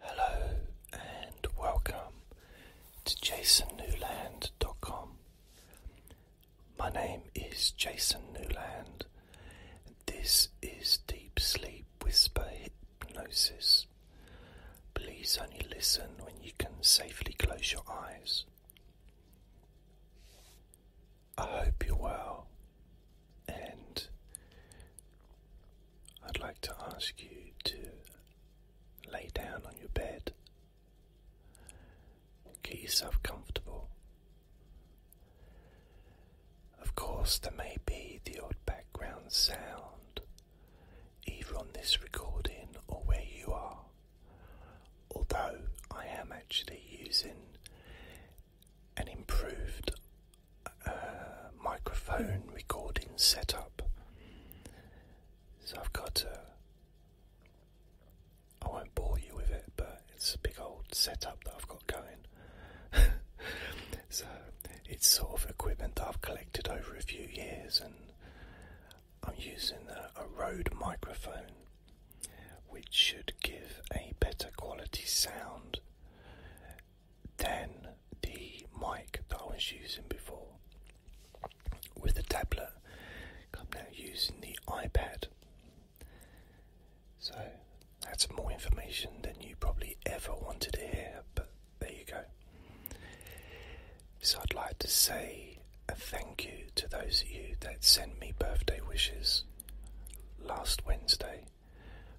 Hello and welcome to jasonnewland.com. My name is Jason Newland. this is Deep Sleep Whisper Hypnosis. Please only listen when you can safely close your eyes. I hope you're well and I'd like to ask you to lay down on your bed. Get yourself comfortable. Of course, there may be the odd background sound, either on this recording or where you are. Although I am actually using an improved uh, microphone recording setup. So I've got a. I won't bore you with it, but it's a big old setup that I've got going. so it's sort of equipment that I've collected over a few years, and I'm using a, a Rode microphone, which should give a better quality sound than the mic that I was using before with the tablet. I'm now using the iPad. So that's more information than you probably ever wanted to hear, but there you go. So I'd like to say a thank you to those of you that sent me birthday wishes last Wednesday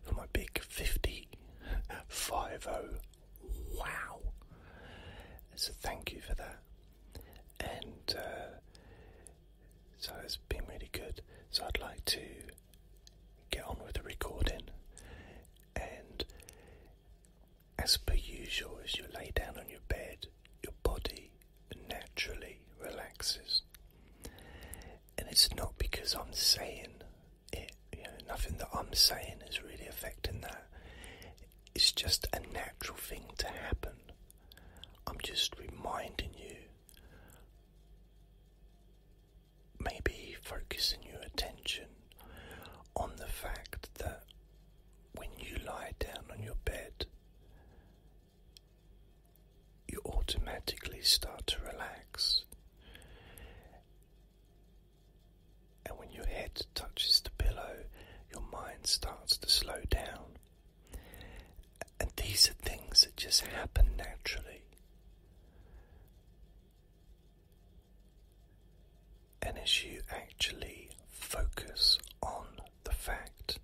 for my big 50 5 Wow! So thank you for that. And uh, so it's been really good. So I'd like to get on with the recording. And as per usual, as you lay down on your bed, your body naturally relaxes. And it's not because I'm saying nothing that I'm saying is really affecting that. It's just a natural thing to happen. I'm just reminding you, maybe focusing your attention on the fact that when you lie down on your bed, you automatically start to relax. And when your head touches the pillow, your mind starts to slow down. And these are things that just happen naturally. And as you actually focus on the fact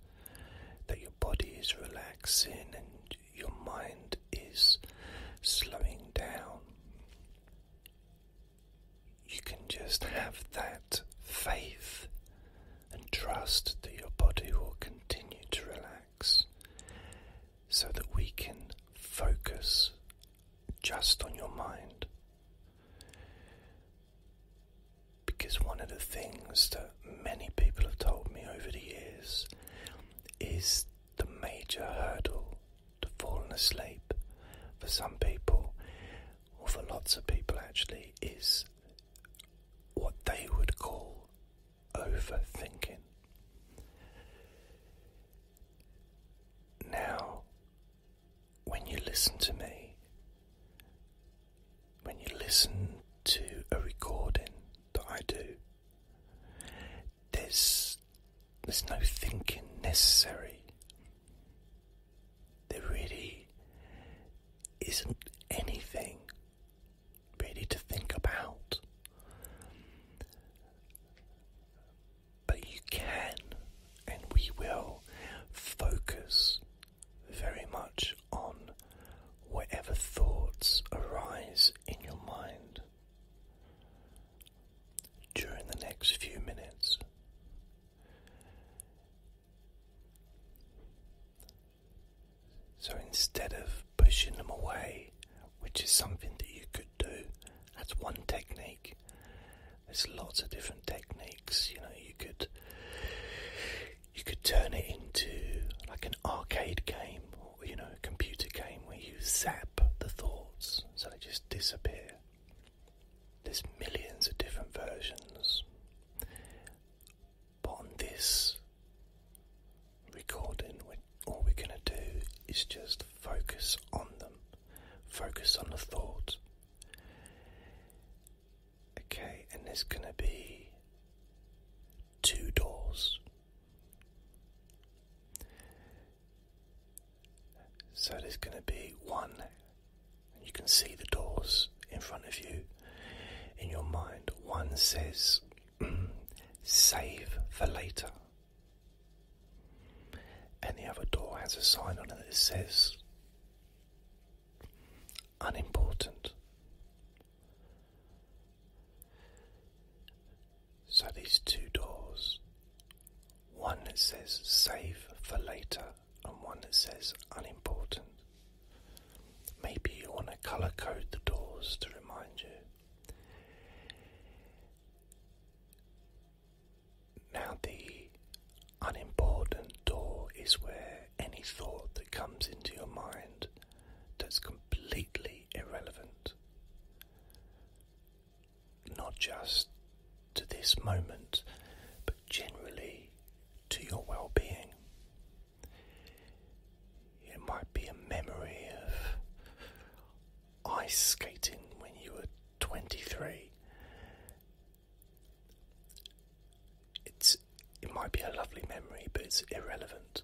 that your body is relaxing and your mind is slowing down, you can just have that faith and trust that your body will continue to relax so that we can focus just on your mind. Because one of the things that many people have told me over the years is the major hurdle to falling asleep for some people, or for lots of people actually, is what they would call overthinking. Now, when you listen to me, when you listen to a recording that I do, there's there's no thinking necessary. There really isn't anything really to think about. But you can, and we will, focus very much on whatever thoughts arise in your mind during the next few minutes. So instead of pushing them away, which is something that you could do, that's one technique. There's lots of different techniques, you know, you could you could turn it into like an arcade game you know, computer game where you zap the thoughts so they just disappear. There's millions of different versions. But on this recording, all we're going to do is just focus on them, focus on the thought. Okay, and there's going to be two doors. So there's going to be one, you can see the doors in front of you in your mind. One says, Save for later. Any other door has a sign on it that says, Unimportant. So these two doors, one that says save for later and one that says unimportant. Maybe you want to colour code the doors to remind you. Now, the unimportant door is where any thought that comes into your mind that's completely irrelevant not just to this moment, but generally to your well being. It might be a memory of ice skating when you were 23. It's, it might be a lovely memory, but it's irrelevant.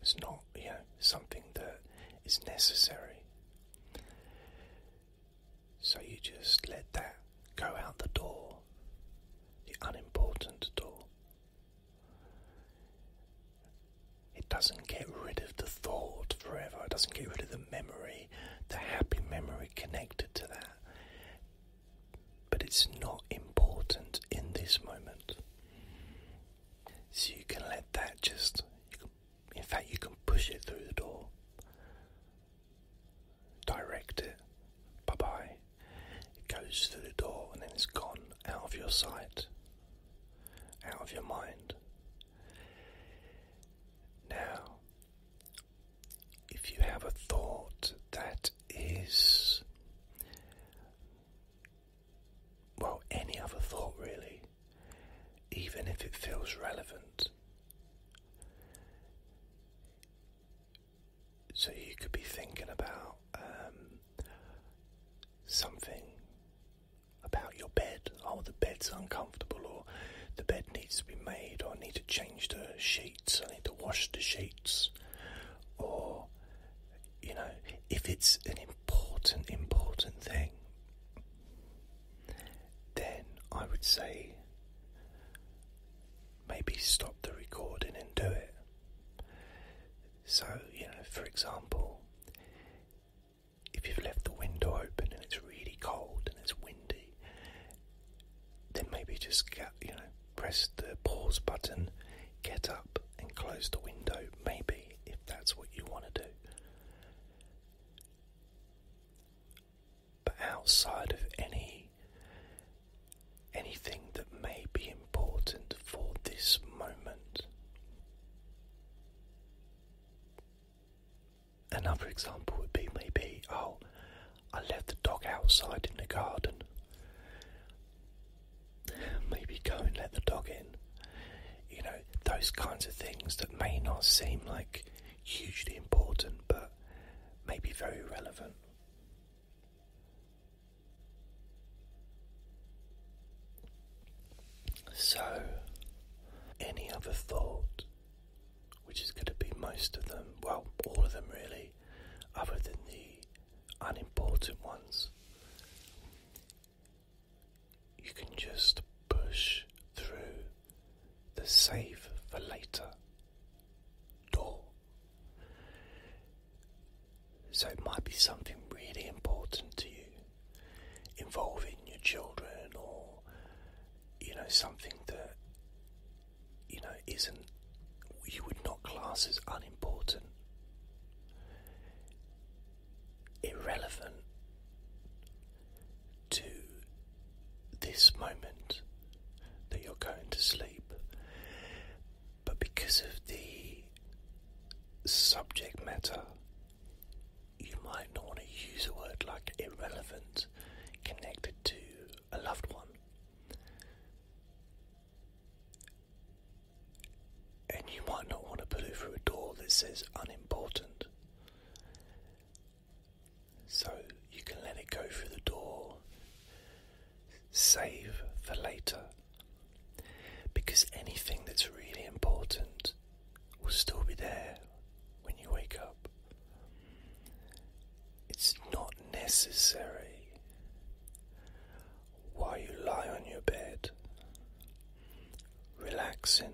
It's not, you know, something that is necessary. So you just let that go out the door, the unimportant door. It doesn't get rid of the thought forever, it doesn't get rid of the memory, the happy memory connected to that. But it's not important in this moment. So you can let that just, you can, in fact, you can push it through the door, direct it, bye bye. It goes through the door and then it's gone out of your sight, out of your mind. Now, if you have a thought that is well, any other thought really, even if it feels relevant. So you could be thinking about um, something about your bed. Oh, the bed's uncomfortable, or the bed needs to be made, or I need to change the sheets, I need to wash the sheets, or you know, if it's an important, important thing, then I would say maybe stop the recording and do it. So, you know, for example, if you've left the window open and it's really cold and it's windy, then maybe just get, you know, press the pause button, get up and close the window, maybe, if that's what you want to do. But outside of any anything that may be important for this moment. Another example would be maybe, oh, I left the dog outside in the garden maybe go and let the dog in. You know, those kinds of things that may not seem like hugely important but may be very relevant. So, any other thought, which is going to be most of them, well, all of them really, other than the unimportant ones, you can just push through the save for later door. So it might be something really important to you involving your children or you know something that you know isn't you would not class as unimportant irrelevant to this moment that you're going to sleep, but because of the subject matter, you might not want to use a word like irrelevant connected to a loved one and you might not want to put it through a door that says unimportant. So you can let it go through the door, save for later, because anything that's really important will still be there when you wake up. It's not necessary while you lie on your bed, relaxing.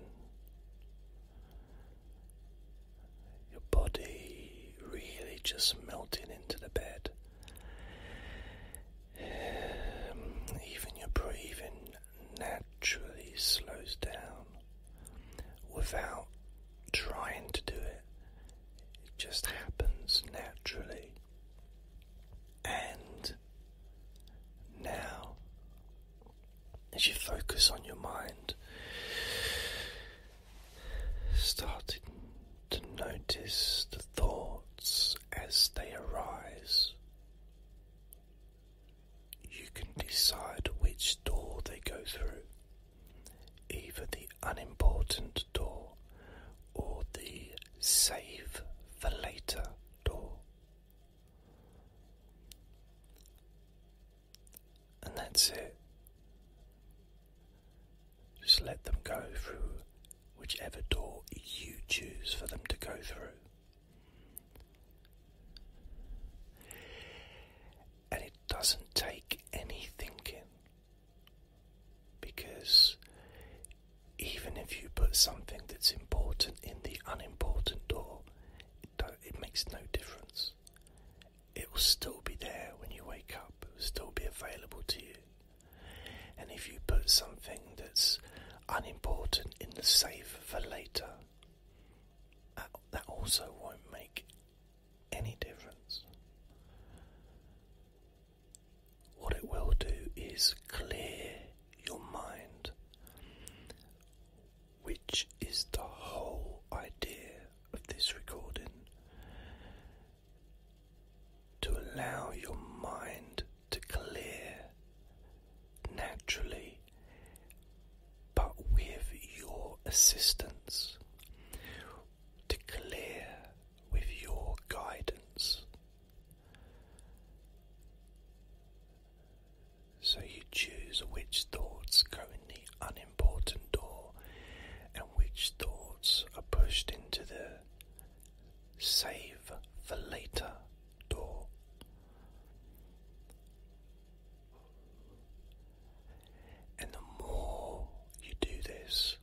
Your body really just melting into the bed. Um, even your breathing naturally slows down without trying to do it, it just happens naturally. And now as you focus on your mind starting to notice the thoughts as they arise you can decide which door they go through either the unimportant door or the save for later door and that's it. Just let them go through whichever door you choose for them to go through. And it doesn't take any thinking because even if you put something that's important in the unimportant door, it, makes no difference. It will still be there when you wake up, it will still be available to you. And if you put something that's unimportant in the safe for later, that also won't make any difference. What it will do is clear your mind, which is the whole idea of this recording. To allow your mind to clear naturally, but with your assistance, to clear with your guidance, so you choose which thoughts go in the unimportant door and which thoughts are pushed into the save for later door. And the more you do this,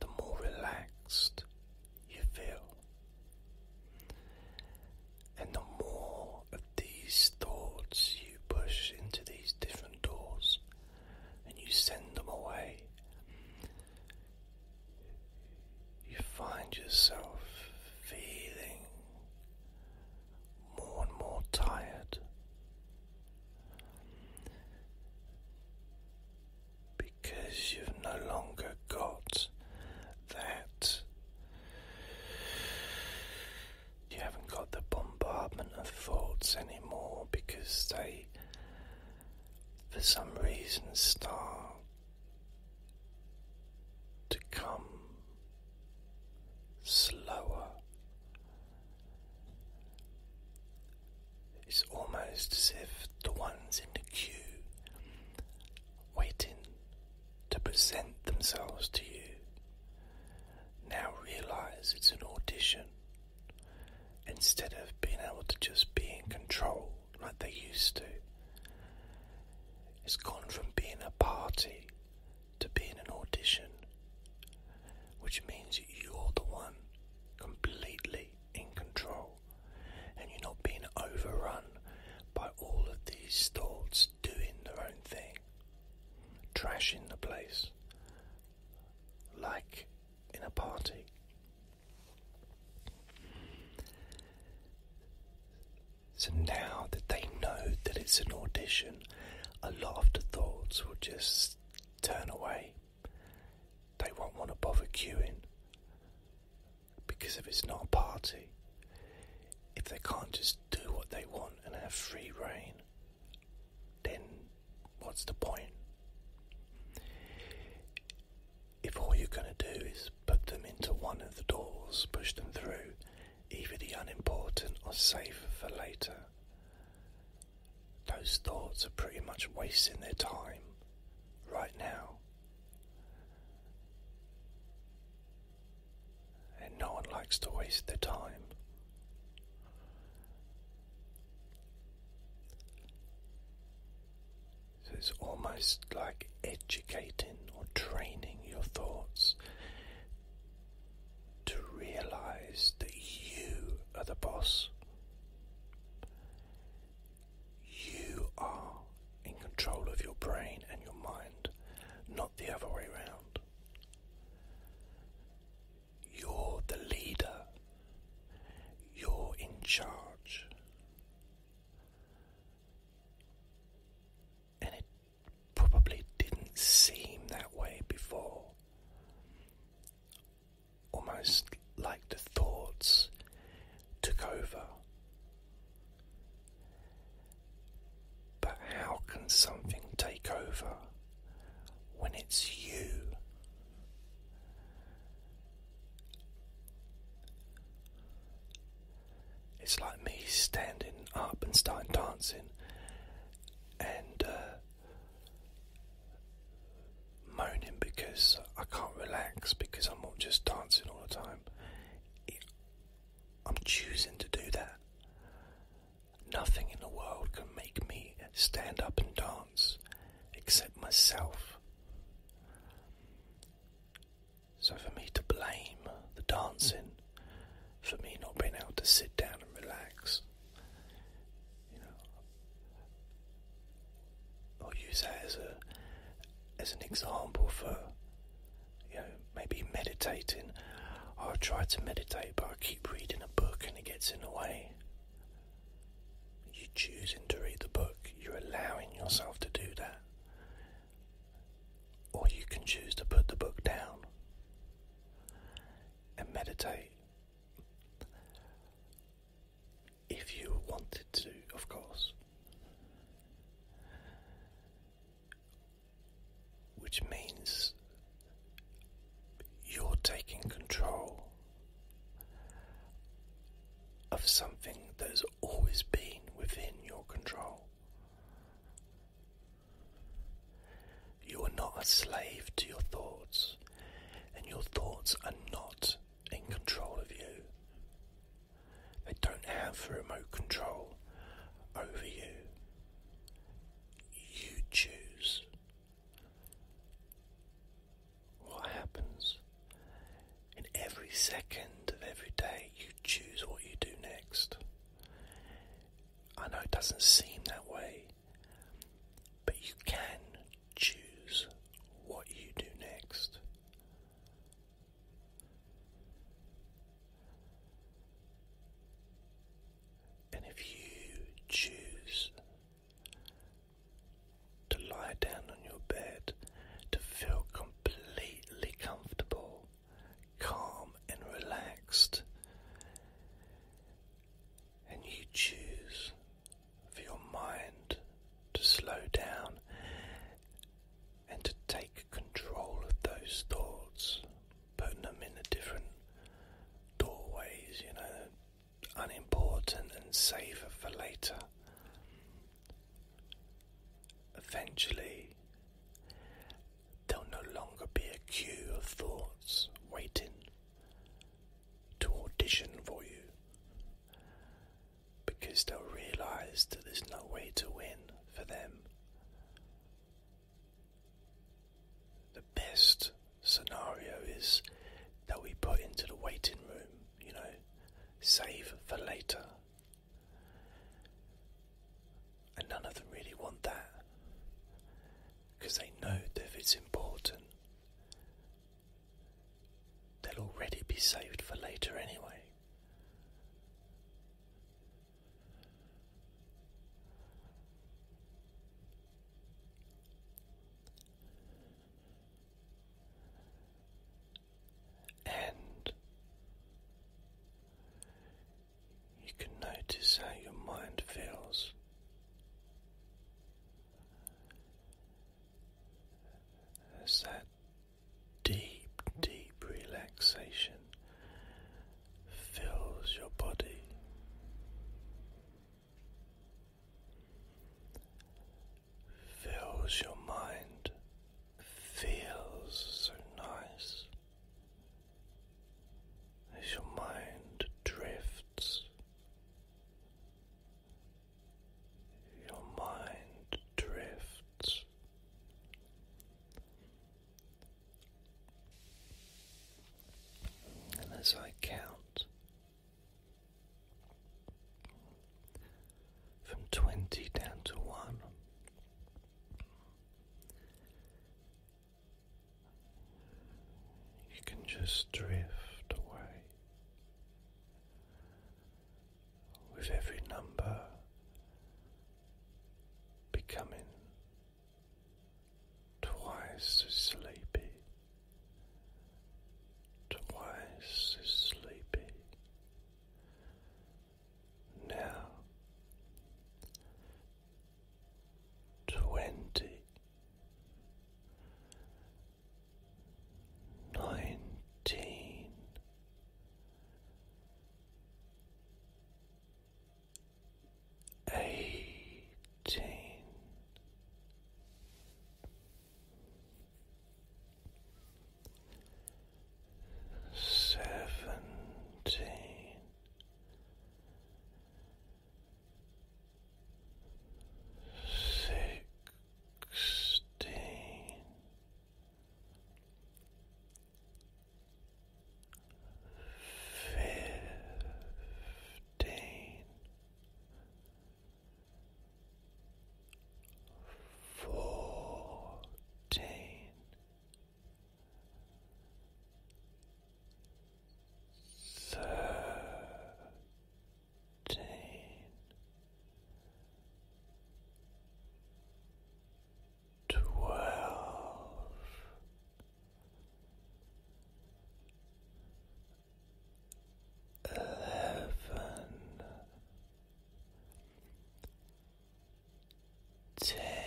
the more relaxed you feel. And the more of these thoughts you push into these different doors and you send them away, you find yourself feeling more and more tired because you've no longer got that. You haven't got the bombardment of thoughts anymore because they, for some reason, start to come slower. It's almost as if the ones in the queue waiting to present themselves to you. Now realize it's an audition instead of being able to just be in control like they used to. It's gone from being a party to being an audition, which means you're the one completely in control and you're not being overrun by all of these thoughts doing their own thing, trashing the place like in a party. So now that they know that it's an audition, a lot of the thoughts will just turn away. They won't want to bother queuing. Because if it's not a party, if they can't just do what they want and have free reign, then what's the point? If all you're going to do is put them into one of the doors, push them through, either the unimportant or safer for later, those thoughts are pretty much wasting their time right now. And no one likes to waste their time. So it's almost like educating or training your thoughts to realize that you are the boss. You are in control of your brain and your mind, not the other way around. You're the leader, you're in charge. And it probably didn't seem that way before. Almost like the thoughts took over. But how can something take over when it's you? It's like me standing up and starting dancing and uh, moaning because I can't relax because I'm not just dancing all the time. I'm choosing to do that. Nothing in the world can make me stand up and dance except myself. So, for me to blame the dancing, for me not being able to sit down and relax, you know, I'll use that as a as an example for you know maybe meditating. I try to meditate, but I keep reading a book and it gets in the way. You're choosing to read the book. You're allowing yourself to do that. Or you can choose to put the book down and meditate if you wanted to, of course. Which means you're taking control of something that has always been within your control. You are not a slave to your thoughts, and your thoughts are not in control of you. They don't have remote control over you. You choose what happens. In every second of every day, you choose what you do next. I know it doesn't seem that way, but you can choose what you do next. And if you choose to lie down on your bed to feel completely comfortable, calm, and relaxed, and you choose for your mind to slow down and to take control of those thoughts, putting them in the different doorways, you know, unimportant and safer for later. Eventually, there'll no longer be a queue of thoughts waiting to audition for you because they'll realize that there's no way to win for them. The best scenario is that we put into the waiting room, you know, save for later. And none of them really want that because they know that if it's important, they'll already be saved for later anyway. And you can notice how your mind feels. As that deep, deep relaxation fills your body. Fills your mind, feels so nice as your mind drifts your mind drifts. And as I count from 20 down to 1, you can just drift away with every number becoming twice as sleepy, twice as sleepy. Now twenty nineteen eighteen seventeen sixteen fifteen, fourteen, thirteen twelve eleven ten nine